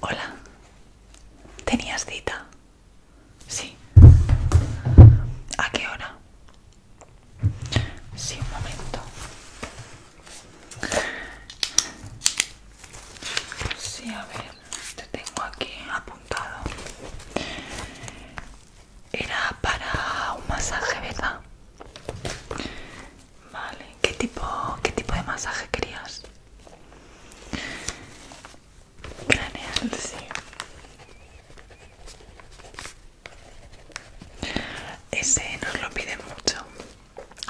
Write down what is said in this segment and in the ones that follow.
Hola, ¿tenías cita? Sí. ¿A qué hora? Sí, un momento. Sí, a ver, te tengo aquí apuntado. Era para un masaje, ¿verdad? Vale, ¿qué tipo, qué tipo de masaje querías? Craneal, sí. Ese nos lo pide mucho,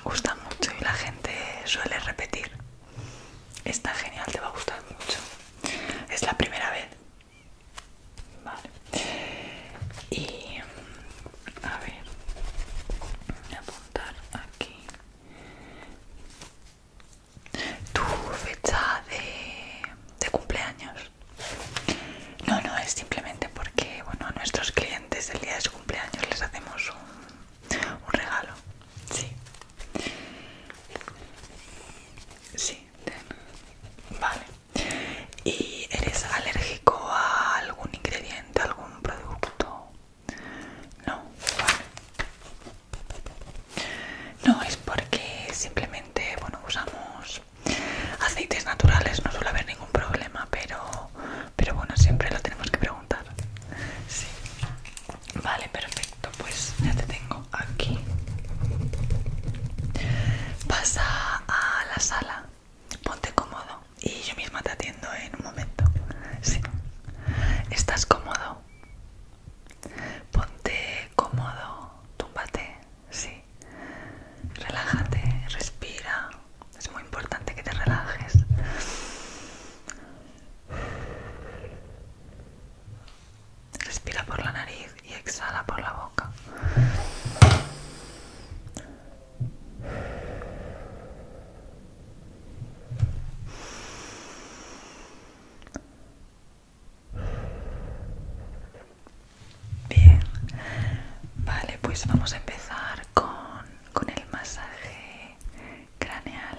gusta mucho y la gente suele repetir. Está genial, te va a gustar mucho. Es la primera vez Vale. Y mm, a ver, voy a apuntar aquí tu fecha de, cumpleaños. No, no, es simplemente porque bueno, a nuestros clientes el día de su cumpleaños les hacemos un, un regalo. Sí. Sí. Vale. ¿Y eres alérgico a algún ingrediente, algún producto? No, No, es porque simplemente, bueno, usamos aceites naturales, no suele haber ningún problema, pero, pero bueno, siempre lo tenemos que preguntar. Vale, perfecto, pues ya te tengo aquí. Pasa a la sala, ponte cómodo y yo misma te atiendo en un momento. Sí. ¿Estás cómodo? Ponte cómodo, túmbate, sí. Relájate, respira. Es muy importante que te relajes. Respira por la nariz y exhala por la boca. Bien, vale, pues vamos a empezar con, con el masaje craneal.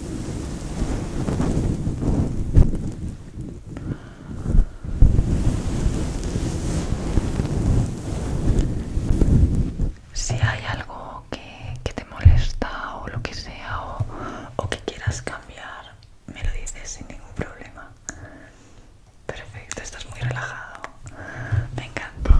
Si hay algo que, te molesta o lo que sea o, o que quieras cambiar, me lo dices sin ningún problema. Perfecto, estás muy relajado. Me encanta.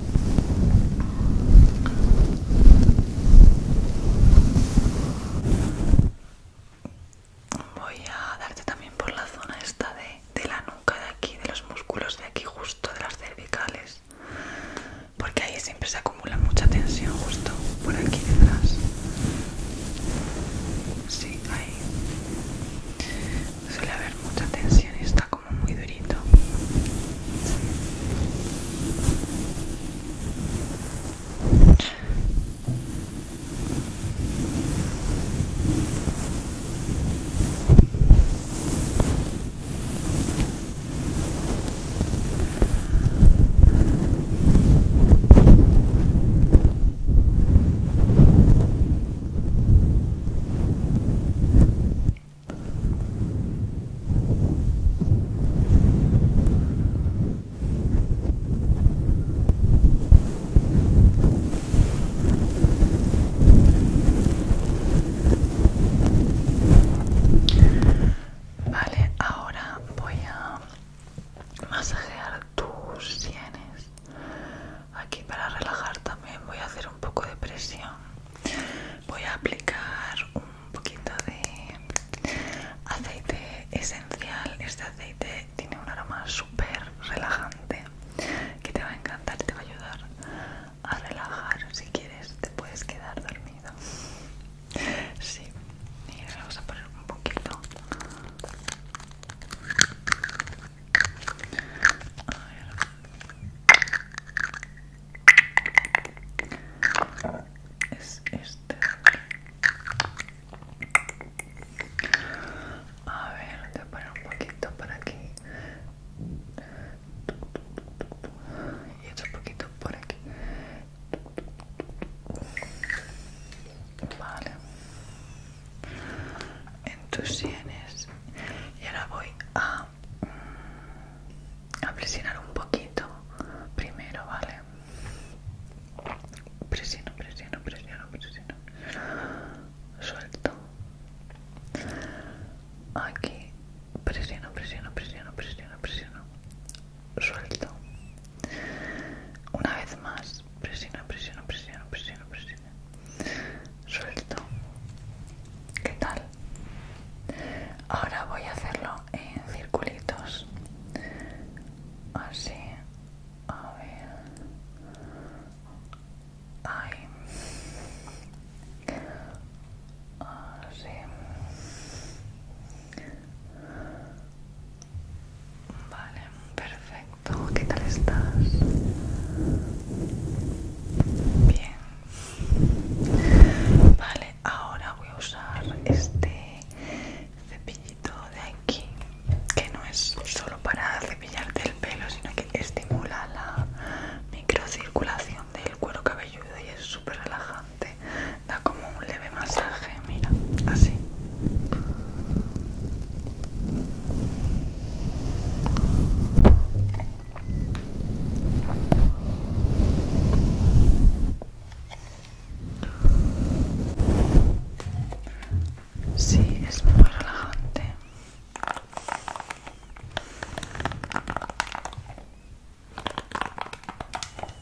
Voy a darte también por la zona esta de, la nuca de aquí, de los músculos de aquí justo, de las cervicales, porque ahí siempre se acumula mucha tensión justo por aquí detrás. Sí, ahí suele haber mucha tensión y está como muy durito. Vale, ahora voy a masajear tus sienes aquí para relajar también voy a hacer un poco de presión voy a aplicar un poquito de aceite esencial este aceite tiene un aroma súper relajante que te va a encantar y te va a ayudar a relajar si quieres te puedes quedar dormido sí y le vamos a poner un poquito es este. A ver, te voy un poquito por aquí. Y otro poquito por aquí vale en tus sienes y ahora voy a mm, a presionar un poquito primero vale presiono presiono presiono presiono suelto aquí presiono presiono presiono presiono presiono suelto una vez más presiono presiono presiono presiono presiono suelto ¿qué tal? ahora voy a hacerlo en circulitos así a ver así Vale, perfecto. ¿Qué tal estás? Bien. Vale, ahora voy a usar este cepillito de aquí, que no es solo para cepillarte el pelo, sino que estimula la microcirculación del cuero cabelludo y es súper relajante. Da como un masaje, mira, así. Sí, es muy relajante.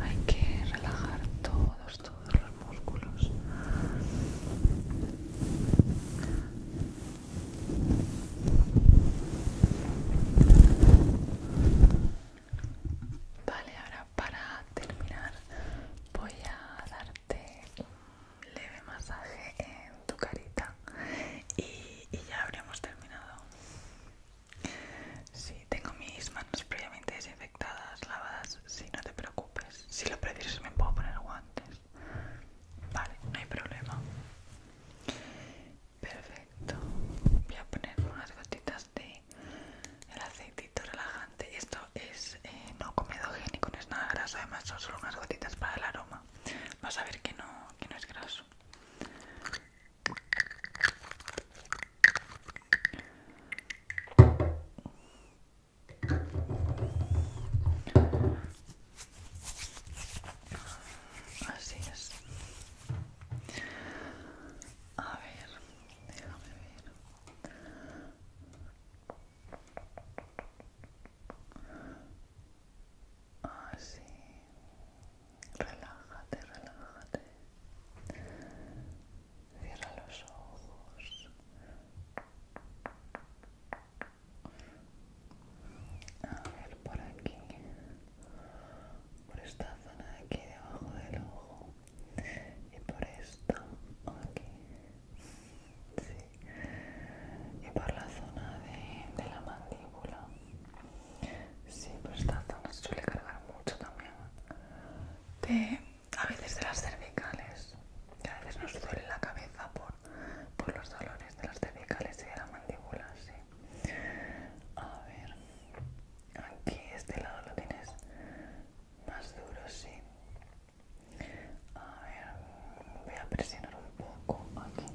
Hay que relajar todos, todos los músculos. Vale, ahora para terminar voy a darte un leve masaje en tu carita y, ya habríamos terminado. Sí, tengo mis manos previamente desinfectadas, lavadas, si sí, no te preocupes. Si lo prefieres me puedo poner guantes. Vale, no hay problema. Perfecto. Voy a poner unas gotitas de el aceitito relajante. Esto es eh, no no comedogénico, no es nada graso, además son solo unas gotitas para el aroma. Vas a ver que no, que no es graso. Así es. A ver, déjame ver. Así. Ah, relájate, relájate. Cierra los ojos. A ver, por aquí, por esta zona de aquí debajo del ojo y por esta aquí, sí, y por la zona de, la mandíbula. Sí, por esta zona se suele cargar mucho también a veces de las cervicales, que a veces nos duele la cabeza por, por los dolores de las cervicales y de la mandíbula, sí. A ver, aquí este lado lo tienes más duro, sí. A ver, voy a presionar un poco aquí.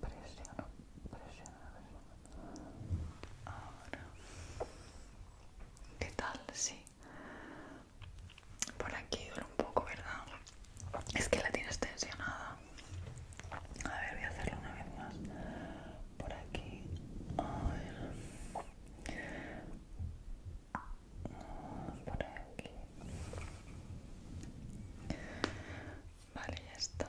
Presiono, presiono, presiono. Ahora. ¿Qué tal? Sí. Por aquí duele un poco, ¿verdad? Es que la tienes tensionada. A ver, voy a hacerlo una vez más. Por aquí. A ver. Por aquí. Vale, ya está.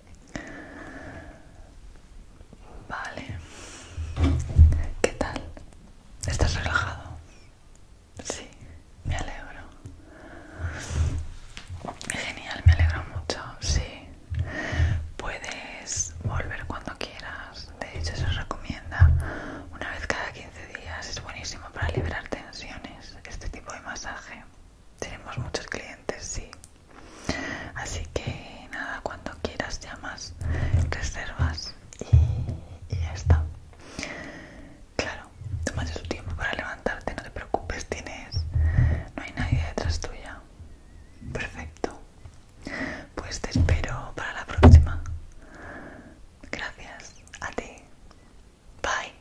Vale. ¿Qué tal? ¿Estás relajado? Sí, me alegro. Genial, me alegro mucho, sí. Puedes volver cuando quieras. De hecho, se recomienda una vez cada 15 días. Es buenísimo para liberar tensiones este tipo de masaje. Tenemos muchos clientes, sí. Así que nada, cuando quieras llamas, reservas y, ya está. Claro, tómate tu tiempo para levantarte, no te preocupes, tienes. No hay nadie detrás tuya. Perfecto. Pues te espero para la próxima. Gracias a ti. Bye.